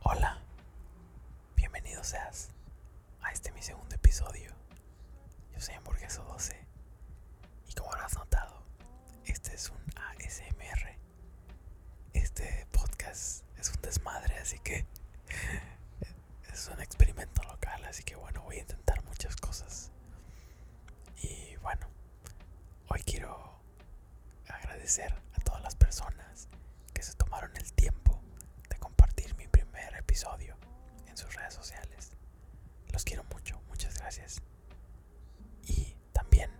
Hola, bienvenido seas a este mi segundo episodio. Yo soy Hamburgueso 12 y como has notado, este es un ASMR. Este podcast es un desmadre, así que es un experimento local, así que bueno, voy a intentar muchas cosas. Y bueno, hoy quiero agradecer a todas las personas que se tomaron el tiempo de compartir mi primer episodio en sus redes sociales. Los quiero mucho, muchas gracias. Y también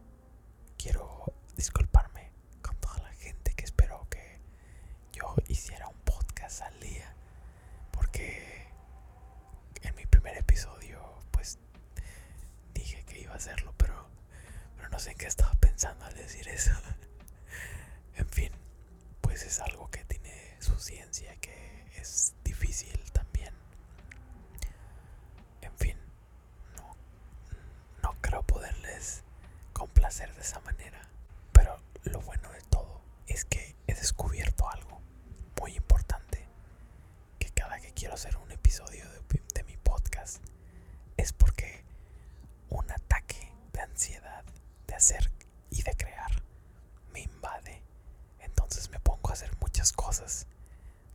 quiero disculparme con toda la gente que esperó que yo hiciera un podcast al día. Porque en mi primer episodio pues dije que iba a hacerlo, pero pero no sé en qué estaba pensando al decir eso. en fin, pues es algo que tiene su ciencia, que es difícil también. En fin, no, creo poderles complacer de esa manera. Pero lo bueno de todo es que he descubierto algo muy importante. Que cada que quiero hacer un episodio de mi podcast es porque un ataque de ansiedad de hacer y de crear me invade. Entonces me pongo a hacer muchas cosas.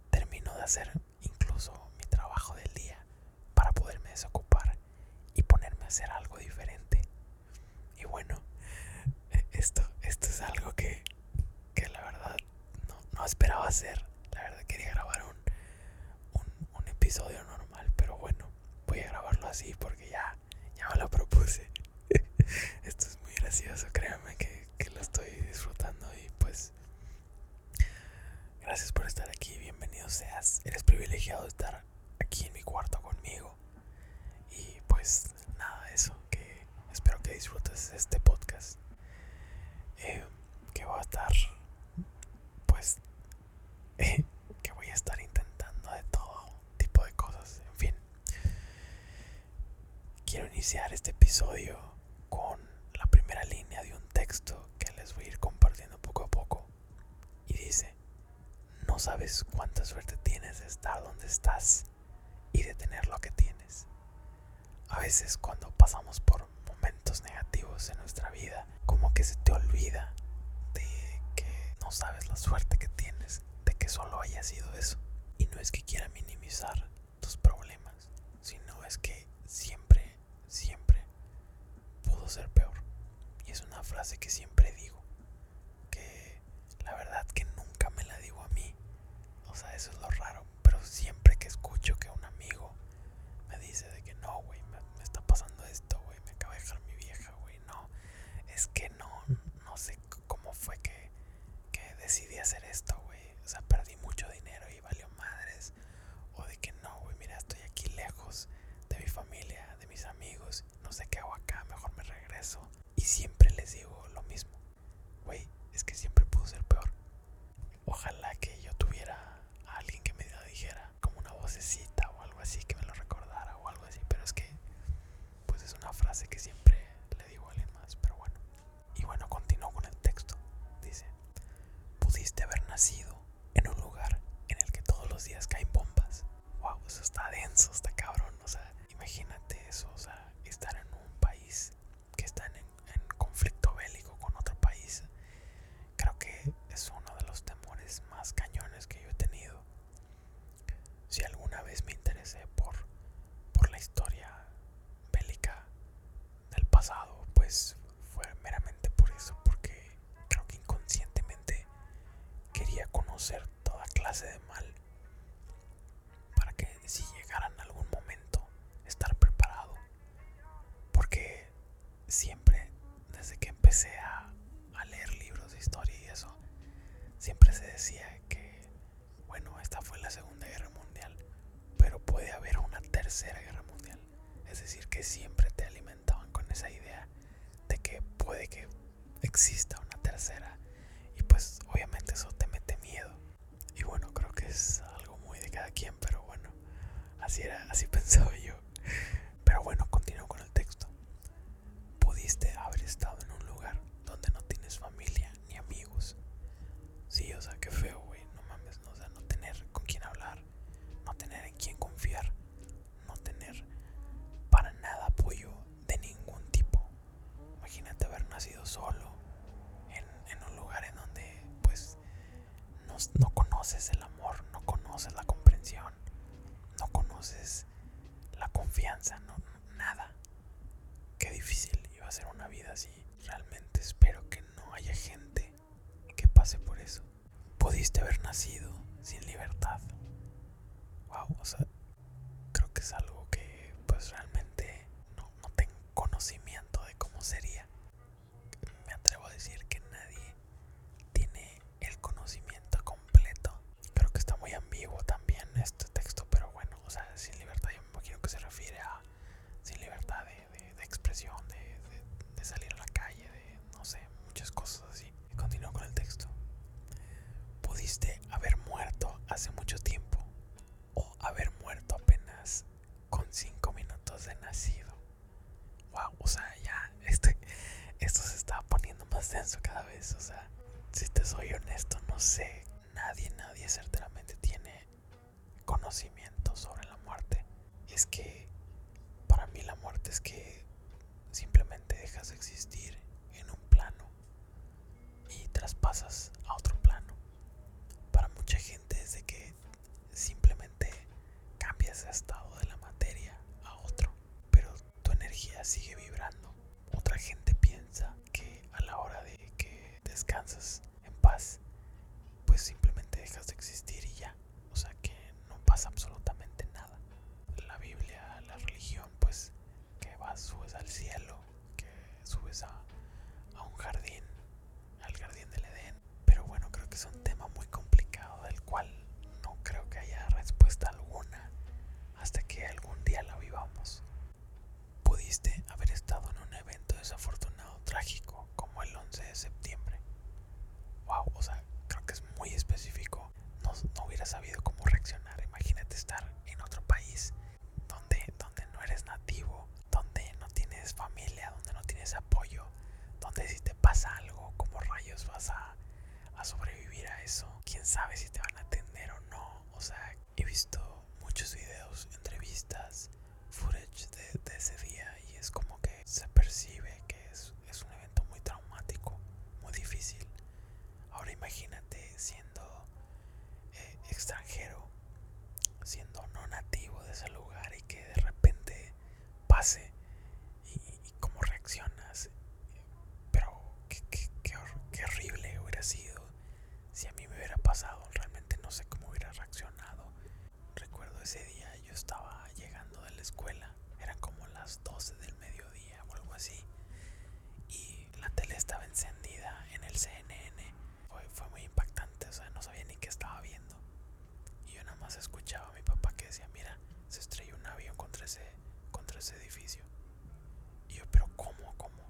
Termino de hacer incluso mi trabajo del día para poderme desocupar y ponerme a hacer algo diferente. Y bueno, esto, esto es algo que, que la verdad no, no esperaba hacer. La verdad quería grabar un, un, episodio normal, pero bueno, voy a grabarlo así porque ya, ya me lo propuse. Esto es muy gracioso, créanme que, lo estoy disfrutando y pues gracias por estar aquí, bienvenido seas, eres privilegiado de estar aquí en mi cuarto conmigo y pues nada, eso, que espero que disfrutes este podcast eh, que va a estar pues que voy a estar intentando de todo tipo de cosas. En fin, quiero iniciar este episodio con la primera línea de un texto que les voy a ir compartiendo poco a poco. Y dice, no sabes cuánta suerte tienes de estar donde estás y de tener lo que tienes. A veces cuando pasamos por momentos negativos en nuestra vida, como que se te olvida de que no sabes la suerte que tienes, de que solo haya sido eso. Y no es que quiera minimizar tus problemas, sino es que siempre, siempre pudo ser peor. Y es una frase que siempre digo, que la verdad que nunca me la digo a mí. O sea, eso es lo raro, pero siempre que escucho que un amigo me dice de que no, güey, me, está pasando esto, güey, me acaba de dejar mi vieja, güey, no, es que no, no sé cómo fue que, que decidí hacer esto, güey, o sea, perdí mucho dinero y valió madres, o de que no, güey, mira, estoy aquí lejos de mi familia, de mis amigos, no sé qué hago acá, mejor me regreso, y siempre les digo lo mismo, güey, es que siempre pudo ser peor. Ojalá que yo tuviera a alguien que me dijera, como una vocecita o algo así que me lo recordara o algo así, pero es que pues es una frase que siempre le digo a alguien más, pero bueno. Y bueno, continúo con el texto. Dice, pudiste haber nacido en un lugar en el que todos los días caen bombas. Wow, eso está denso, está cabrón. O sea, imagínate eso, o sea, estar en un país que está en, en conflicto bélico con otro país creo que es uno de los temores más cañones que yo he tenido. Si alguna vez me interesé por, por la historia bélica del pasado, pues fue meramente por eso, porque creo que inconscientemente quería conocer toda clase de mal para que si llegara en algún momento estar preparado. Porque siempre, desde que empecé a, a leer libros de historia y eso, siempre se decía que, bueno, esta fue la Segunda Guerra Mundial, pero puede haber una Tercera Guerra Mundial. Es decir, que siempre te alimentaban con esa idea de que puede que exista una tercera. Y pues obviamente eso te mete miedo. Y bueno, creo que es algo muy de cada quien, pero bueno, así era, así pensaba yo. Pero bueno, continúo con el texto. Pudiste haber estado en un lugar donde no tienes familia ni amigos. Sí, o sea, qué feo, güey. No mames, no, sea, no tener con quién hablar, no tener en quién confiar, no tener para nada apoyo de ningún tipo. Imagínate haber nacido solo en un lugar en donde, pues, no, conoces el amor, no conoces la comprensión, no conoces la confianza, no, nada. Qué difícil iba a ser una vida así. Realmente espero que no haya gente que pase por eso. Pudiste haber nacido sin libertad. Wow, o sea, creo que es algo que pues realmente no, no tengo conocimiento de cómo sería me atrevo a decir que nadie tiene el conocimiento completo. Creo que está muy ambiguo también este texto, pero bueno, o sea, sin libertad yo me imagino que se refiere a sin libertad de, expresión, de, salir a la calle, de no sé, muchas cosas así. Continúo con el texto. Pudiste haber muerto hace mucho tiempo o haber muerto apenas con 5 minutos de nacido. Wow, o sea, ya, este, esto se está poniendo más denso cada vez. O sea, si te soy honesto, no sé. Nadie, nadie certeramente tiene conocimiento sobre la muerte. es que para mí la muerte es que simplemente dejas de existir en un plano y traspasas a otro plano. Para mucha gente es de que simplemente cambias de estado de la materia a otro, pero tu energía sigue vibrando. Otra gente piensa que a la hora de que descansas en paz, pues simplemente dejas de existir y ya. O sea que no pasa absolutamente nada. La Biblia, la religión, pues que vas, subes al cielo, que subes a, a un jardín, al jardín del Edén pero bueno, creo que es un tema muy complicado del cual no creo que haya respuesta alguna hasta que algún día la vivamos. Pudiste haber estado en un evento desafortunado, trágico, como el 11 de septiembre. Wow, o sea, creo que es muy específico. No, no hubiera sabido cómo reaccionar. Imagínate estar en otro país donde, donde no eres nativo, donde no tienes familia, donde no tienes apoyo donde si te pasa algo, como rayos vas a, sobrevivir a eso. Quién sabe si te van a atender o no. O sea, he visto muchos videos, entrevistas, footage de, ese día y es como que se percibe que es, un evento muy traumático, muy difícil. Ahora imagínate siendo eh, extranjero, siendo no nativo de ese lugar y que de repente pase y, cómo reaccionas. Pero qué, horrible hubiera sido si a mí me hubiera pasado. Realmente no sé cómo hubiera reaccionado. Recuerdo ese día yo estaba llegando de la escuela. Eran como las 12 del mediodía o algo así. Y la tele estaba encendida en el CNN. Fue, fue muy impactante, o sea, no sabía ni qué estaba viendo. Y yo nada más escuchaba a mi papá que decía, mira, se estrelló un avión contra ese, contra ese edificio. Y yo, pero ¿cómo? ¿Cómo?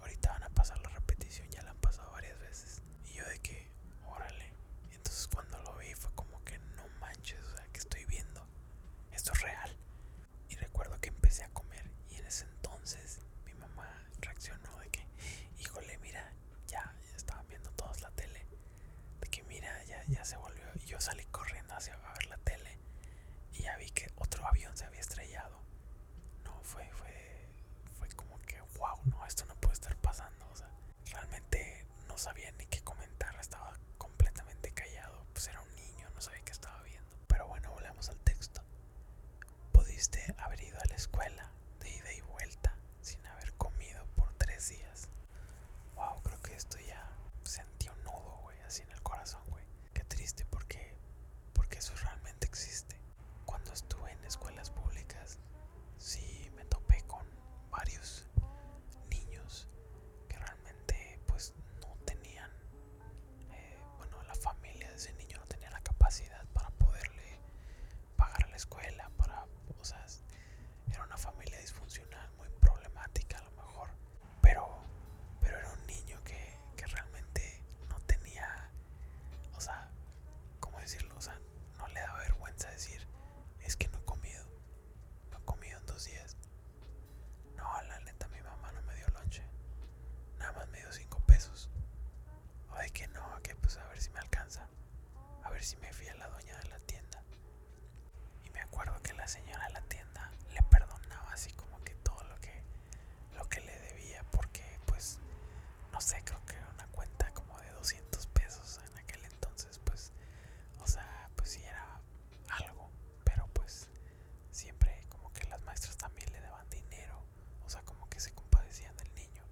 Ahorita van a pasar la repetición, ya la han pasado varias veces. Y yo de que, órale. entonces cuando lo vi fue como que no manches, o sea, que estoy viendo. Esto es real. Y recuerdo que empecé a comer y en ese entonces mi mamá reaccionó de que, híjole, mira, ya estaban viendo todos la tele de que mira, ya, ya se volvió. Y yo salí corriendo hacia a ver la tele y ya vi que otro avión se había estrellado. No, fue, fue, fue como que, wow, no, esto no puede estar pasando. realmente no sabía ni qué comentar, estaba completamente callado. Pues era un niño, no sabía qué estaba viendo. Pero bueno, volvemos al texto. Pudiste haber ido a la escuela de ida y vuelta sin haber comido por tres días. Wow, creo que esto ya sentí un nudo, güey, así en el corazón, güey. Qué triste porque, porque eso realmente existe. Cuando estuve en escuelas públicas, sí me topé con varios niños que realmente pues no tenían, eh, bueno, la familia de ese niño no tenía la capacidad para poderle pagar a la escuela, para, o sea, era una familia disfuncional, muy problemática a lo mejor, pero, pero era un niño que, realmente no tenía, o sea, ¿cómo decirlo? O sea, no le da vergüenza decir, es que no he comido, no he comido en dos días. No, a la lenta mi mamá no me dio lonche, nada más me dio cinco pesos. O que no, que pues a ver si me alcanza a ver si me fía la dueña de la tienda. Y me acuerdo que la señora de la tienda le perdonaba así como que todo lo que, lo que le debía porque pues no sé, creo que era una cuenta como de 200 pesos en aquel entonces pues, o sea, pues sí era algo, pero pues siempre como que las maestras también le daban dinero, o sea, como que se compadecían del niño.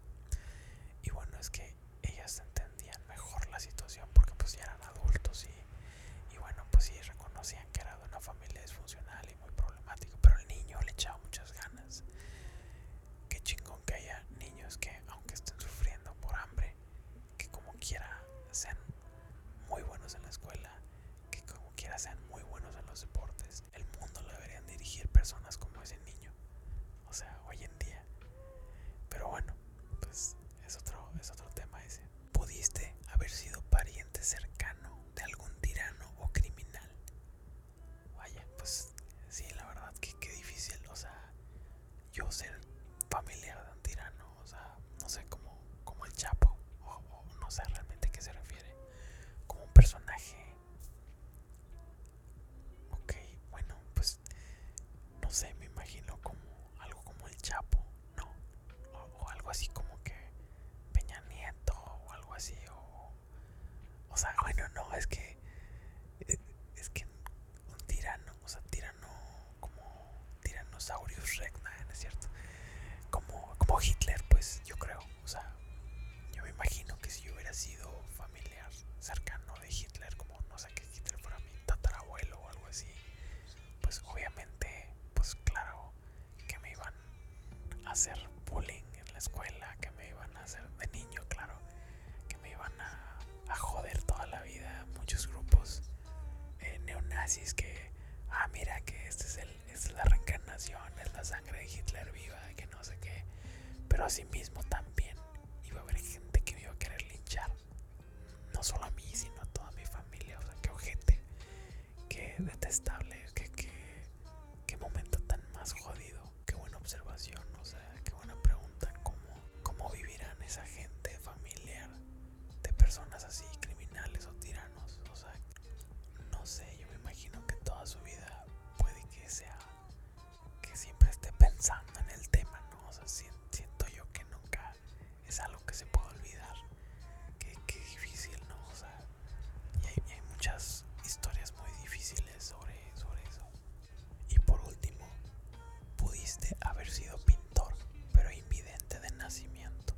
Y bueno, es que ellas entendían mejor la situación porque pues ya eran adultos y, y bueno pues sí reconocían que era de una familia disfuncional y muy problemática pero el niño le echaba muchas ganas qué chingón que haya niños que aunque estén sufriendo por hambre que como quiera sean muy buenos en la escuela que como quiera sean muy buenos en los deportes el mundo lo deberían dirigir personas como ese niño o sea, hoy en día. Pero bueno, pues es otro, es otro tema ese. Pudiste haber sido pariente cercano de algún tirano o criminal. Vaya, pues sí, la verdad que qué difícil, o sea, yo ser familiar de un tirano, o sea, no sé, como, como el Chapo, o, no sé realmente a qué se refiere, como un personaje. Ok, bueno, pues no sé, me imagino como algo como el Chapo, ¿no? O, algo así como que Peña Nieto o algo así, o, o sea, bueno, no, es que, eh, es, que un tirano, o sea, tirano como Tyrannosaurus Rex, ¿no es cierto? Como, como Hitler, pues yo creo, o sea, yo me imagino que si hubiera sido familiar cercano de Hitler, como no que Hitler fuera mi tatarabuelo o algo así, pues obviamente, pues claro, que me iban a hacer bullying en la escuela, que me iban a hacer de niño, claro, que me iban a, joder toda la vida muchos grupos eh, neonazis que, ah, mira que este es el, esta es la reencarnación, es la sangre de Hitler viva, que no sé qué, pero mismo también iba a haber gente que me iba a querer linchar no solo a mí, sino a toda mi familia. O sea, qué ojete, qué detestable, qué, momento tan más jodido. Qué buena observación, o sea, qué buena pregunta. ¿Cómo, cómo vivirán esa gente familiar de personas así, criminales o tiranos? O sea, no sé, yo me imagino que toda su vida puede que sea que siempre esté pensando en el tema siento yo que nunca es algo que se puede olvidar. qué difícil, ¿no? O sea, y hay, muchas historias muy difíciles sobre, eso. Y por último, pudiste haber sido pintor, pero invidente de nacimiento.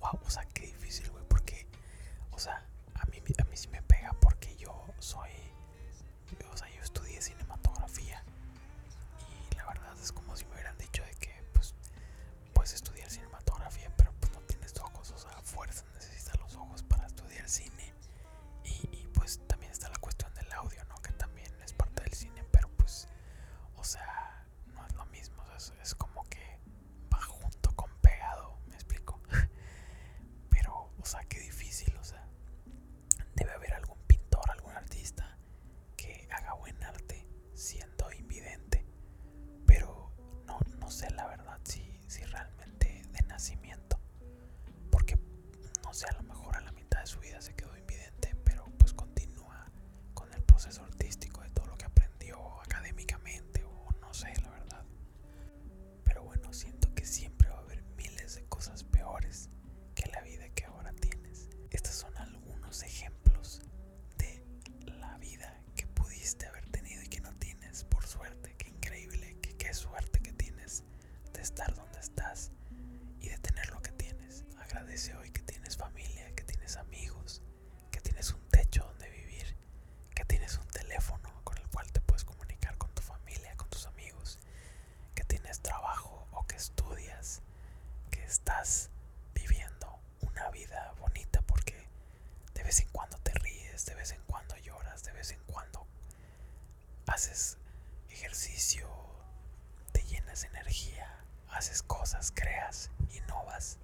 Wow, o sea, qué difícil, güey, porque, o sea, a mí, a mí sí me pega porque yo soy, o sea, yo estudié cinematografía y la verdad es como si me hubieran dicho de que pues puedes estudiar cinematografía pero pues no tienes ojos o sea fuerza necesitas los ojos para estudiar cine y, pues también está la cuestión del audio que también es parte del cine pero pues o sea no es lo mismo es, es como que va junto con pegado me explico pero o sea qué difícil o sea debe haber algún pintor algún artista que haga buen arte siendo invidente. Pero no, no sé la verdad si, si realmente de nacimiento. Porque no sé, a lo mejor a la mitad de su vida se quedó invidente, pero pues continúa con el proceso artístico de todo lo que aprendió académicamente o no sé, la verdad. Pero bueno, siento que siempre va a haber miles de cosas peores que la vida que ahora tienes. Estos son algunos ejemplos de la vida que pudiste haber tenido y que no tienes. Por suerte, qué increíble, que qué suerte que tienes de estar donde estás y de tener lo que tienes. Agradece hoy que tienes familia, que tienes amigos, que tienes un techo donde vivir, que tienes un teléfono con el cual te puedes comunicar con tu familia, con tus amigos que tienes trabajo o que estudias, que estás viviendo una vida bonita porque de vez en cuando te ríes, de vez en cuando lloras, de vez en cuando haces ejercicio, te llenas de energía, haces cosas, creas, innovas.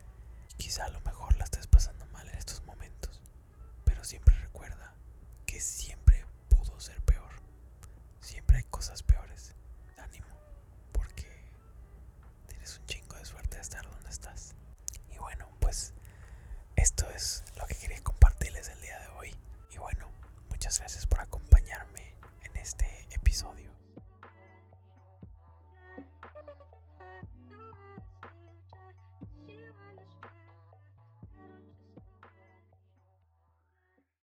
Quizá a lo mejor la estés pasando mal en estos momentos, pero siempre recuerda que siempre pudo ser peor. Siempre hay cosas peores ánimo, porque tienes un chingo de suerte de estar donde estás. Y bueno, pues esto es lo que quería compartirles el día de hoy. Y bueno, muchas gracias por acompañarme en este episodio.